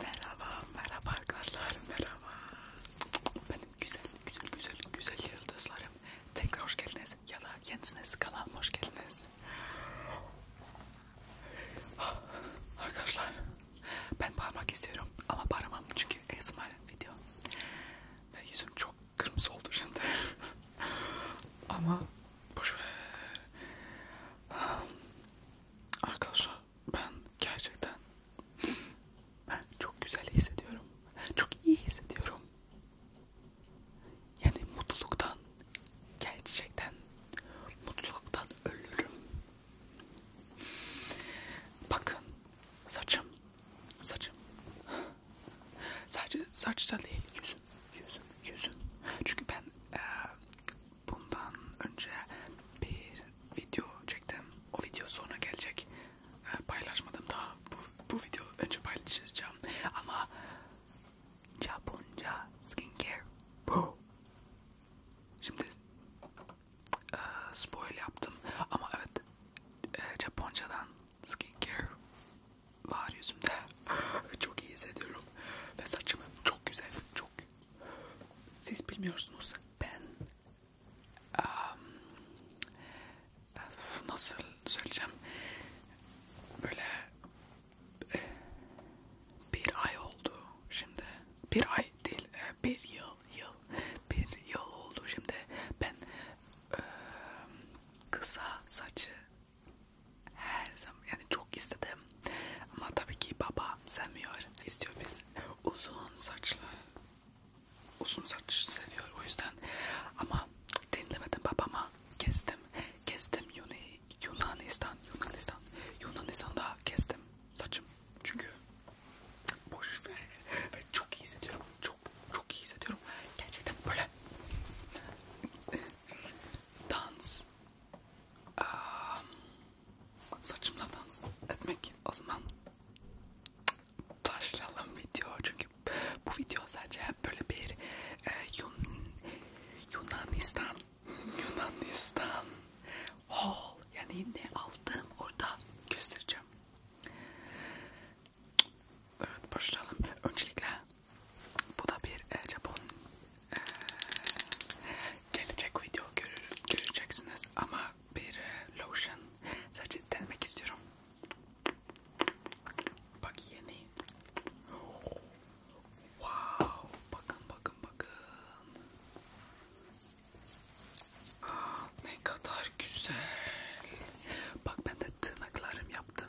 merhaba, merhaba arkadaşlar, merhaba. Benim güzel, güzel, güzel, güzel yıldızlarım. Tekrar hoş geldiniz ya da kendiniz kanalıma hoş geldiniz. Arkadaşlar, ben parmak istiyorum ama paramam çünkü esmer video ve yüzüm çok kırmızı oldu şimdi. ama Boş ver. Arkadaşlar ben gerçekten ben çok güzel hissediyorum. Çok iyi hissediyorum. Yani mutluluktan gerçekten mutluluktan ölürüm. Bakın saçım saçım sadece saçta değil yüzüm yüzüm yüzüm çünkü ben e, bundan önce bir video çektim. O video sonra gelecek. E, paylaşmadım daha. Bu, bu video önce paylaşacağım. Ama Japonca skincare bu. Şimdi e, spoil yaptım ama evet e, Japonca'dan skincare var yüzümde. çok iyi hissediyorum. Ve saçım çok güzel. Çok. Siz bilmiyorsunuz. Ben um, nasıl söyleyeceğim? Böyle eh, bir ay oldu şimdi. Bir ay değil. Eh, bir yıl. Yıl. Bir yıl oldu şimdi. Ben eh, kısa saçı her zaman yani çok istedim ama tabii ki baba sevmiyor istiyor biz uzun saçlı uzun saç seviyor o yüzden ama dinlemedim babama kestim kestim Yuni, Yunanistan Yunanistan Yunanistan'da kestim saçım çünkü boş ver ve çok iyi hissediyorum çok çok iyi hissediyorum gerçekten böyle dans ee, saçımla dans etmek o zaman başlayalım video çünkü bu video sadece böyle bir e, Yun, Yunanistan Yunanistan haul yani ne aldım orada göstereceğim. Evet başlayalım. Öncelikle bu da bir e, Japon e, gelecek video görür, göreceksiniz ama bir e, lotion sadece denemek istiyorum. Bak yeni. Wow, bakın bakın bakın. Ah, ne kadar güzel. Bak ben de tırnaklarım yaptım.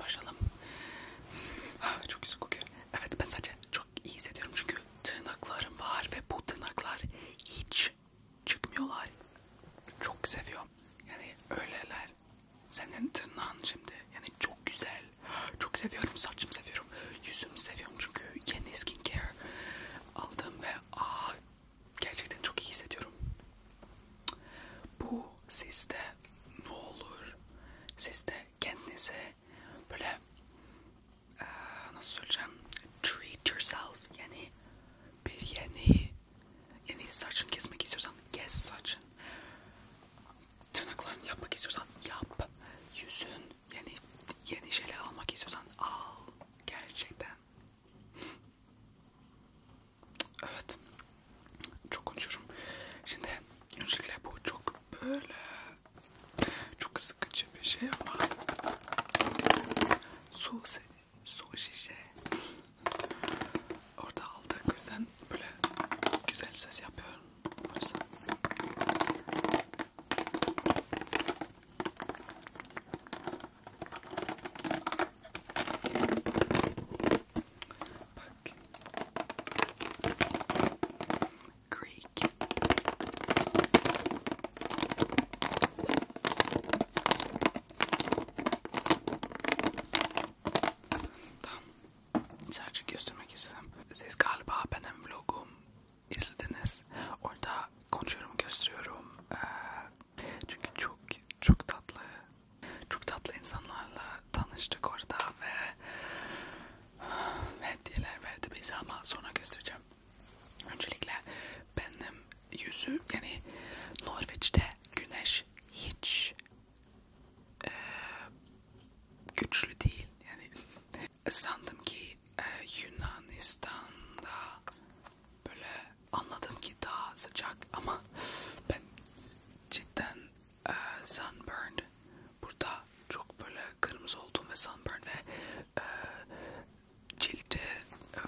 Başlayalım. Ah, çok güzel kokuyor. Evet ben sadece çok iyi hissediyorum çünkü tırnaklarım var ve bu tırnaklar hiç çıkmıyorlar. Çok seviyorum. Yani öyleler. Senin tırnağın şimdi yani çok güzel. Çok seviyorum saçımı seviyorum. Yüzümü seviyorum çünkü yeni skincare aldım ve aa, ah, gerçekten çok iyi hissediyorum. Bu sizde ne olur? Sizde kendinize böyle ee, nasıl söyleyeceğim? Treat yourself yani bir yeni yeni saçın kesmek istiyorsan kes saçın. Tırnaklarını yapmak istiyorsan yap. Yüzün yani yeni şeyler almak istiyorsan al gerçekten. Evet. Çok konuşuyorum. Şimdi öncelikle bu çok böyle çok sıkıcı bir şey ama su, su şişe orada aldık. O yüzden böyle güzel ses yapıyorum. O yüzden. Bak. Greek. Tamam. Sadece göstermek istedim. Siz galiba benim vlogum izlediniz. Orada konuşuyorum, gösteriyorum. Ee, çünkü çok çok tatlı çok tatlı insanlarla tanıştık orada ve ah, hediyeler verdi bize ama sonra göstereceğim. Öncelikle benim yüzü yani Norveç'te güneş hiç e, güçlü değil. Yani sandım ki e, Yunanistan'da böyle anladım ki daha sıcak ama ben cidden e, sunburn burada çok böyle kırmızı oldum ve sunburn ve e, cilde e,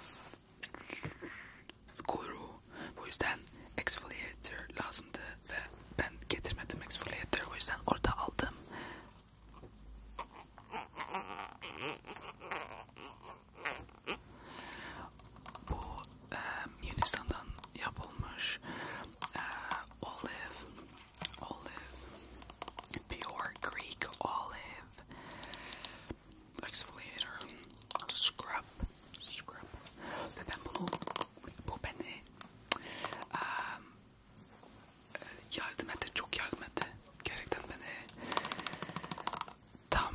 kuru bu yüzden exfoliator lazımdı ve ben getirmedim exfoliator o yüzden orada aldım bu e, Yunanistan'dan yapılmış e, olive, olive, pure Greek olive exfoliator, scrub, scrub. Ve ben bunu, bu beni e, yardım etti, çok yardım etti. Gerçekten beni tam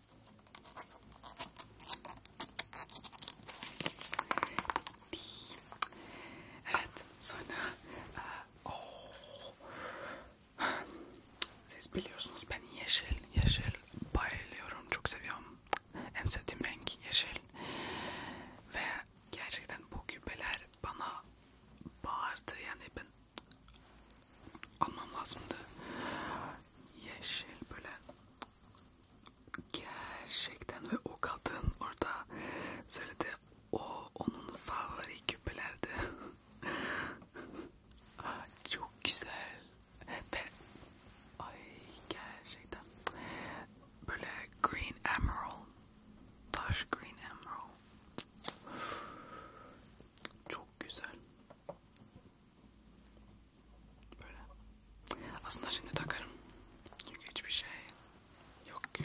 Evet, sonra e, oh. siz biliyorsunuz ben yeşil, yeşil bayılıyorum, çok seviyorum. En sevdiğim renk yeşil ve gerçekten bu küpeler bana bağırdı yani ben almam lazımdı. Yeşil böyle gerçekten ve o kadın orada söyledi o onun favori küpelerdi. Çok güzel ve ay gerçekten böyle green emerald taş green emerald çok güzel. Böyle. Aslında şimdi takarım. Çünkü hiçbir şey yok ki.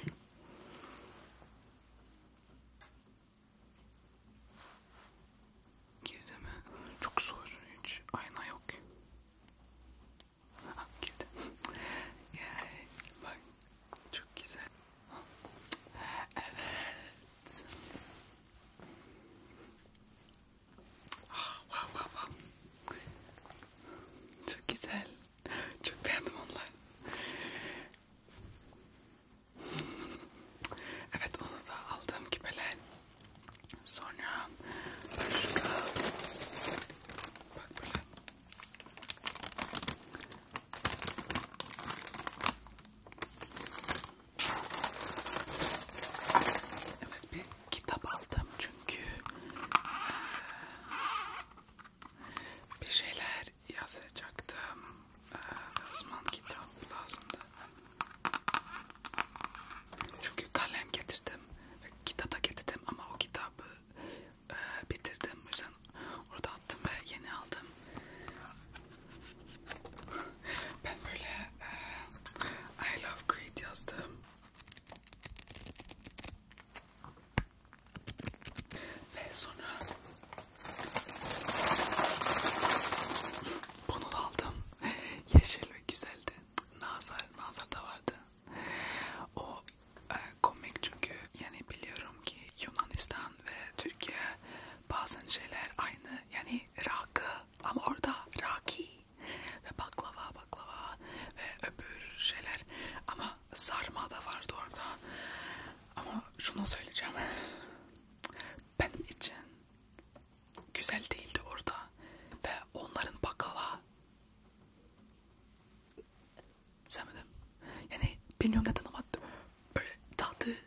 Girdi mi? Çok zor. Hiç ayna yok ki. Ha, girdi. Yay. Bak. Çok güzel. Evet. Ah, wow, wow, wow. Çok güzel. Çok beğendim onlar. evet onu da aldım küpeler. Sonra başka bak böyle Evet bir kitap aldım çünkü bir şeyler yazacaktım. Osman kitap lazımdı. Çünkü kalem getirdim ve kitap da getirdim ama o kitabı bitirdim. O yüzden orada attım ve yeni aldım. Ben böyle uh, I love Creed yazdım. Ve sonra bunu da aldım. Yeşil ve güzeldi. Nazar, nazar da vardı. O e, komik çünkü yani biliyorum ki Yunanistan ve Türkiye Bazen şeyler aynı yani rakı ama orada raki ve baklava baklava ve öbür şeyler ama sarma da vardı orada ama şunu söyleyeceğim benim için güzel değildi orada ve onların baklava sevmedim yani bilmiyorum neden ama böyle tadı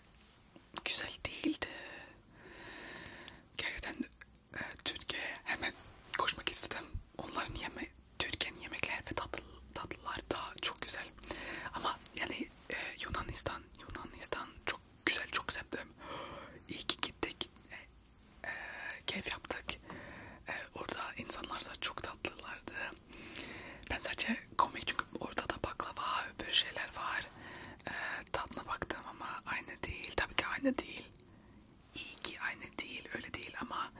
güzel değildi. Gerçekten e, Türkiye'ye hemen koşmak istedim. Onların yeme Türkiye'nin yemekleri ve tatlı, tatlılar daha çok güzel. Ama yani e, Yunanistan, Yunanistan çok güzel, çok sevdim. İyi ki gittik. E, e, keyif yaptık. E, orada insanlar da çok tatlılardı. Ben sadece komik çünkü ortada baklava, öbür şeyler var. Ee, tadına baktım ama aynı değil. Tabii ki aynı değil. İyi ki aynı değil, öyle değil ama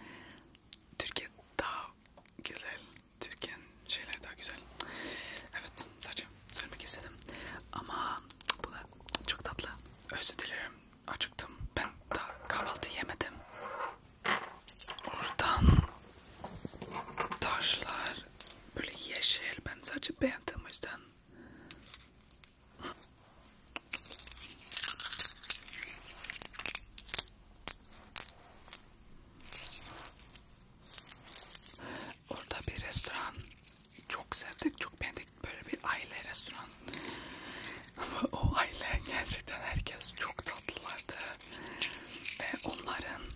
Türkiye daha güzel. Türkiye'nin şeyler daha güzel. Evet, sadece söylemek istedim. Ama bu da çok tatlı. Özür dilerim, acıktım. Ben daha kahvaltı yemedim. Oradan taşlar böyle yeşil. Ben sadece beğendim o yüzden. Orada bir restoran çok sevdik, çok beğendik böyle bir aile restoran. Ama o aile gerçekten herkes çok tatlılardı ve onların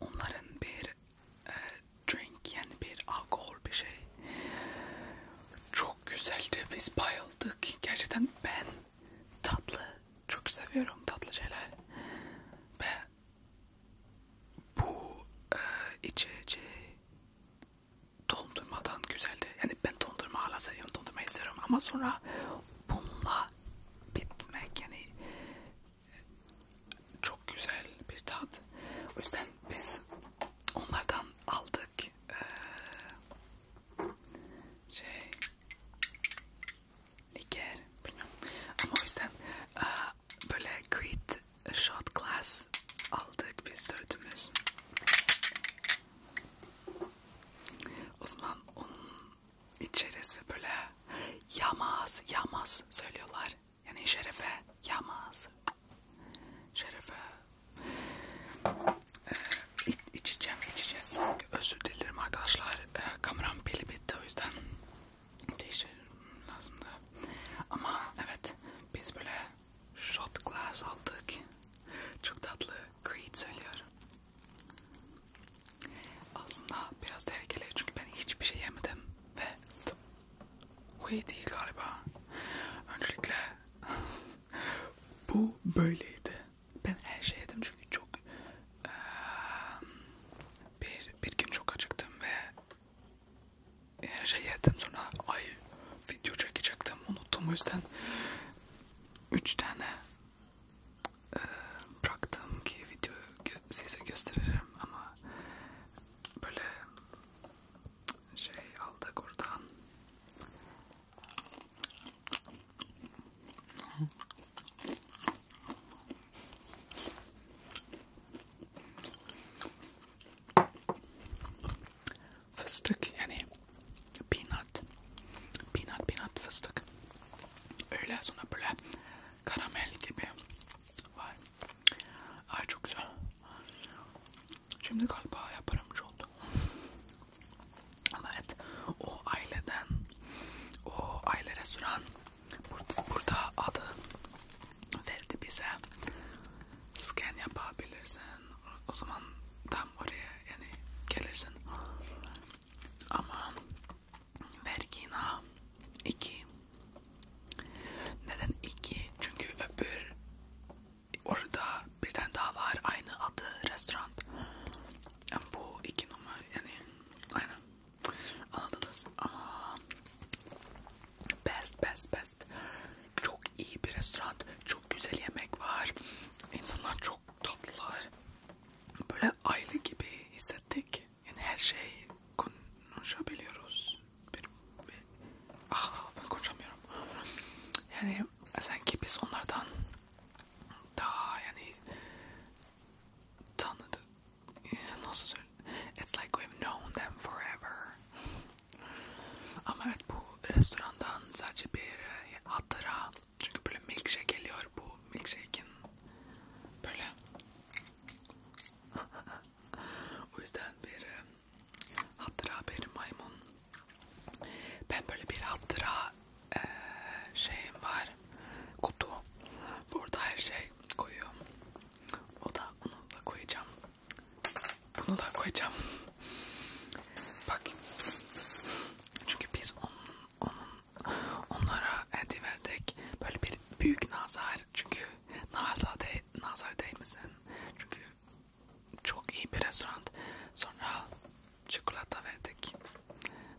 onların bir e, drink yani bir alkol bir şey çok güzeldi biz bayıldık gerçekten ben tatlı çok seviyorum tatlı şeyler ve bu e, içeceği dondurmadan güzeldi yani ben dondurma hala seviyorum dondurma istiyorum ama sonra bununla bitmek yani e, çok güzel bir tat. O yüzden biz onlardan aldık ee, şey liker bilmiyorum ama o yüzden e, böyle quit shot glass aldık biz dördümüz. O zaman onun içeriz ve böyle yamaz yamaz söylüyorlar. Yani şerefe yamaz. Şerefe ee, iç, içeceğim içeceğiz. Özür dilerim arkadaşlar. Ee, kameram pili bitti o yüzden değiştirmem lazımdı. Ama evet biz böyle shot glass aldık. Çok tatlı. Creed söylüyorum. Aslında biraz tehlikeli çünkü ben hiçbir şey yemedim ve bu iyi değil galiba. Öncelikle bu böyleydi. Ben her şey yedim çünkü çok ee, bir, bir gün çok acıktım ve her şey yedim sonra ay video çekecektim unuttum o yüzden 3 tane e, bıraktığım ki videoyu gö size gösteririm ama böyle şey aldık oradan fıstık yani peanut, peanut, peanut fıstık. Öyle sonra böyle karamel gibi var. Ay çok güzel. Şimdi galiba yaparımcı oldu. Ama evet o aileden, o aile restoran burada, burada adı verdi bize. Scan yapabilirsin o zaman tam oraya yani gelirsin ama vergina 2 neden 2 çünkü öbür orada bir tane daha var aynı adı restoran yani bu 2 numara yani aynen anladınız ama best best best çok iyi bir restoran çok güzel yemek var insanlar çok çok tatlılar. Böyle aile gibi hissettik. Yani her şey konuşabiliyoruz. Benim, benim. Ah, ben konuşamıyorum. Yani sanki biz onlardan daha yani tanıdık. Nasıl söyleyeyim? It's like we've known them forever. Ama evet bu bu restorandan sadece bir hatıra çünkü böyle milkshake geliyor bu milkshake'in böyle o yüzden bir e, hatıra bir maymun ben böyle bir hatıra e, şeyim var kutu burada her şey koyuyorum o da onu da koyacağım bunu da koyacağım Bakayım. Çünkü biz onun, onun onlara hediye verdik. Böyle bir büyük nazar. Çünkü nazar, de, nazar değmesin. Çünkü çok iyi bir restoran. Sonra çikolata verdik.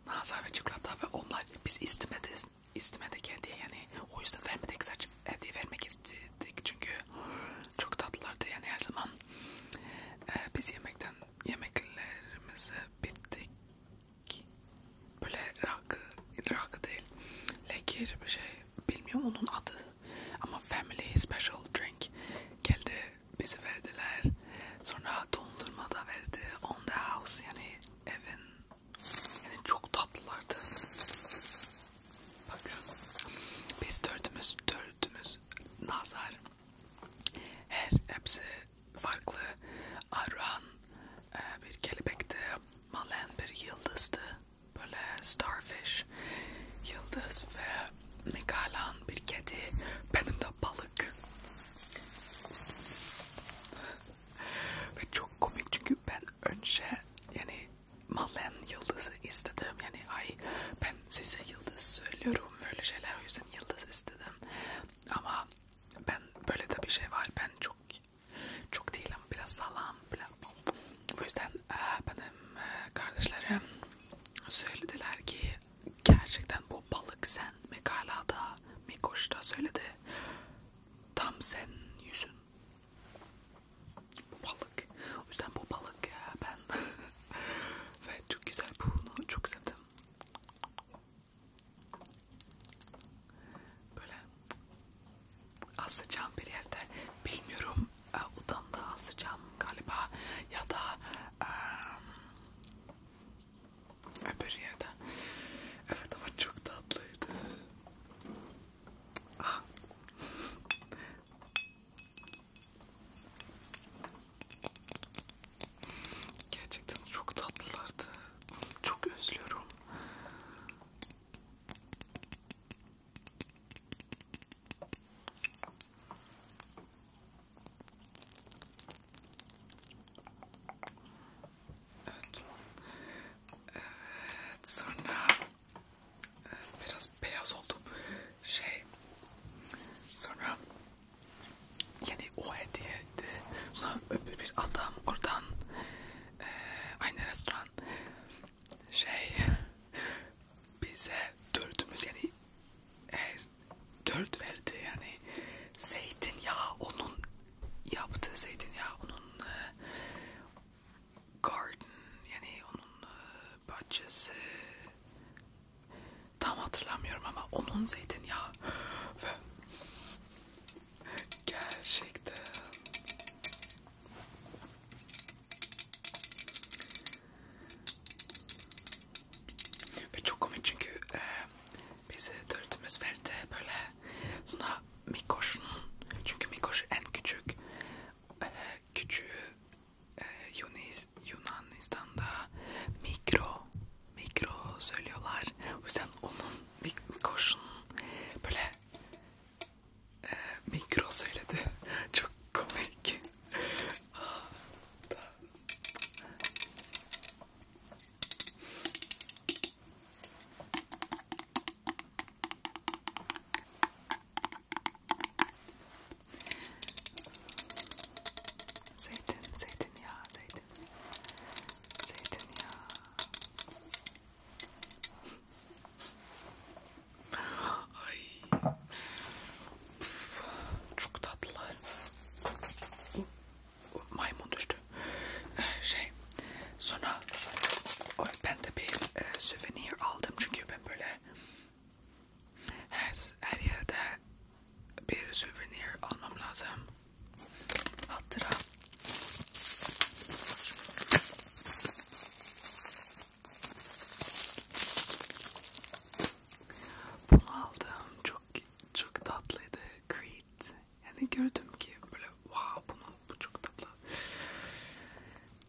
Nazar ve çikolata ve onlar biz istemedik, istemedik hediye yani. O yüzden vermedik sadece hediye vermek istedik. Çünkü çok tatlılardı yani her zaman e, biz yemekten yemeklerimizi bittik böyle rakı rakı değil lekir bir şey bilmiyorum onun adı ama family special drink geldi bize verdiler sonra dondurma da verdi on the house yani evin yani çok tatlılardı bakın biz dördümüz dördümüz nazar her hepsi farklı. Arran e, bir kelebekti, Malen bir yıldızdı, böyle starfish, yıldız ve Mikalan bir kedi, benim de balık. ve çok komik çünkü ben önce yani Malen yıldızı istedim yani ay ben size yıldız söylüyorum böyle şeyler o yüzden yıldız istedim ama ben böyle de bir şey var ben çok çok değilim biraz salam bu yüzden e, benim e, kardeşlerim söylediler ki gerçekten bu balık sen mekalada Mikoş'ta söyledi tam sen yüzün bu balık. O yüzden bu balık ya ben. Ve çok güzel bunu çok sevdim. Böyle asacağım bir yerde bilmiyorum odamda e, asacağım galiba ya da um, öbür yerde. Evet ama çok tatlıydı. Ah. Gerçekten çok tatlılardı. Çok özlüyorum. Evet. Evet. Sonra ee, biraz beyaz oldum şey sonra yani o hediyeydi sonra öbür bir adam oradan e, aynı restoran şey bize dördümüz yani eğer dört verdi yani zeytinyağı onun yaptığı zeytinyağı onun e, Garden yani onun e, bahçesi tam hatırlamıyorum ama onun zeytinyağı ve gerçekten ve çok komik çünkü e, bizi e, dörtümüz verdi böyle sonra Mikoş'un çünkü Mikoş en küçük e, küçüğü ee, Yunis, Yunanistan'da mikro mikro söylüyorlar. O yüzden onun koşunun böyle e, mikro söyledi. Çok komik. Zeytin, zeytin ya, zeytin. Zeytin ya. Ay. Çok tatlılar. Maymun düştü. Eh, şey, sonra ben de bir e, souvenir aldım çünkü ben böyle her, her yerde bir souvenir almam lazım. Hatıra. Bunu aldım. Çok çok tatlıydı. Creed. Yani gördüm ki böyle wow bunu bu çok tatlı.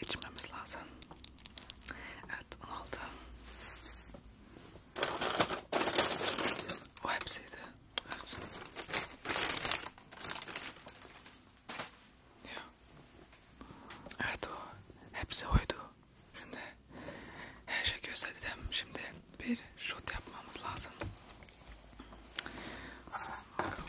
içmemiz lazım. Evet, onu aldım. O hepsiydi. Evet. Ya. Evet o. Hepsi oydu. Şimdi her şey gösterdim. Şimdi bir shot yapmamız lazım. Bakalım.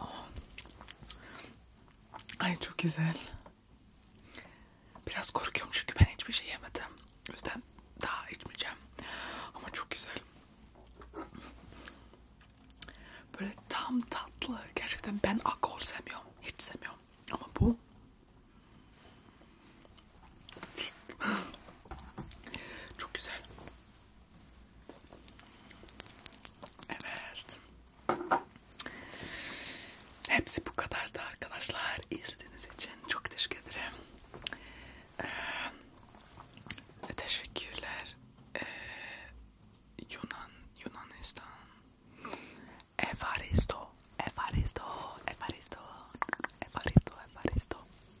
Oh. Ay çok güzel. Biraz korkuyorum çünkü ben hiçbir şey yemedim. O yüzden daha içmeyeceğim. Ama çok güzel. Böyle tam tatlı. Gerçekten ben alkol sevmiyorum. Hiç sevmiyorum. Ama bu çok güzel. Evet. Hepsi bu kadardı arkadaşlar. İzlediğiniz için çok teşekkür ederim. Ee, teşekkürler. Ee, Yunan, Yunanistan. Evaristo, Evaristo, Evaristo, Evaristo, Evaristo.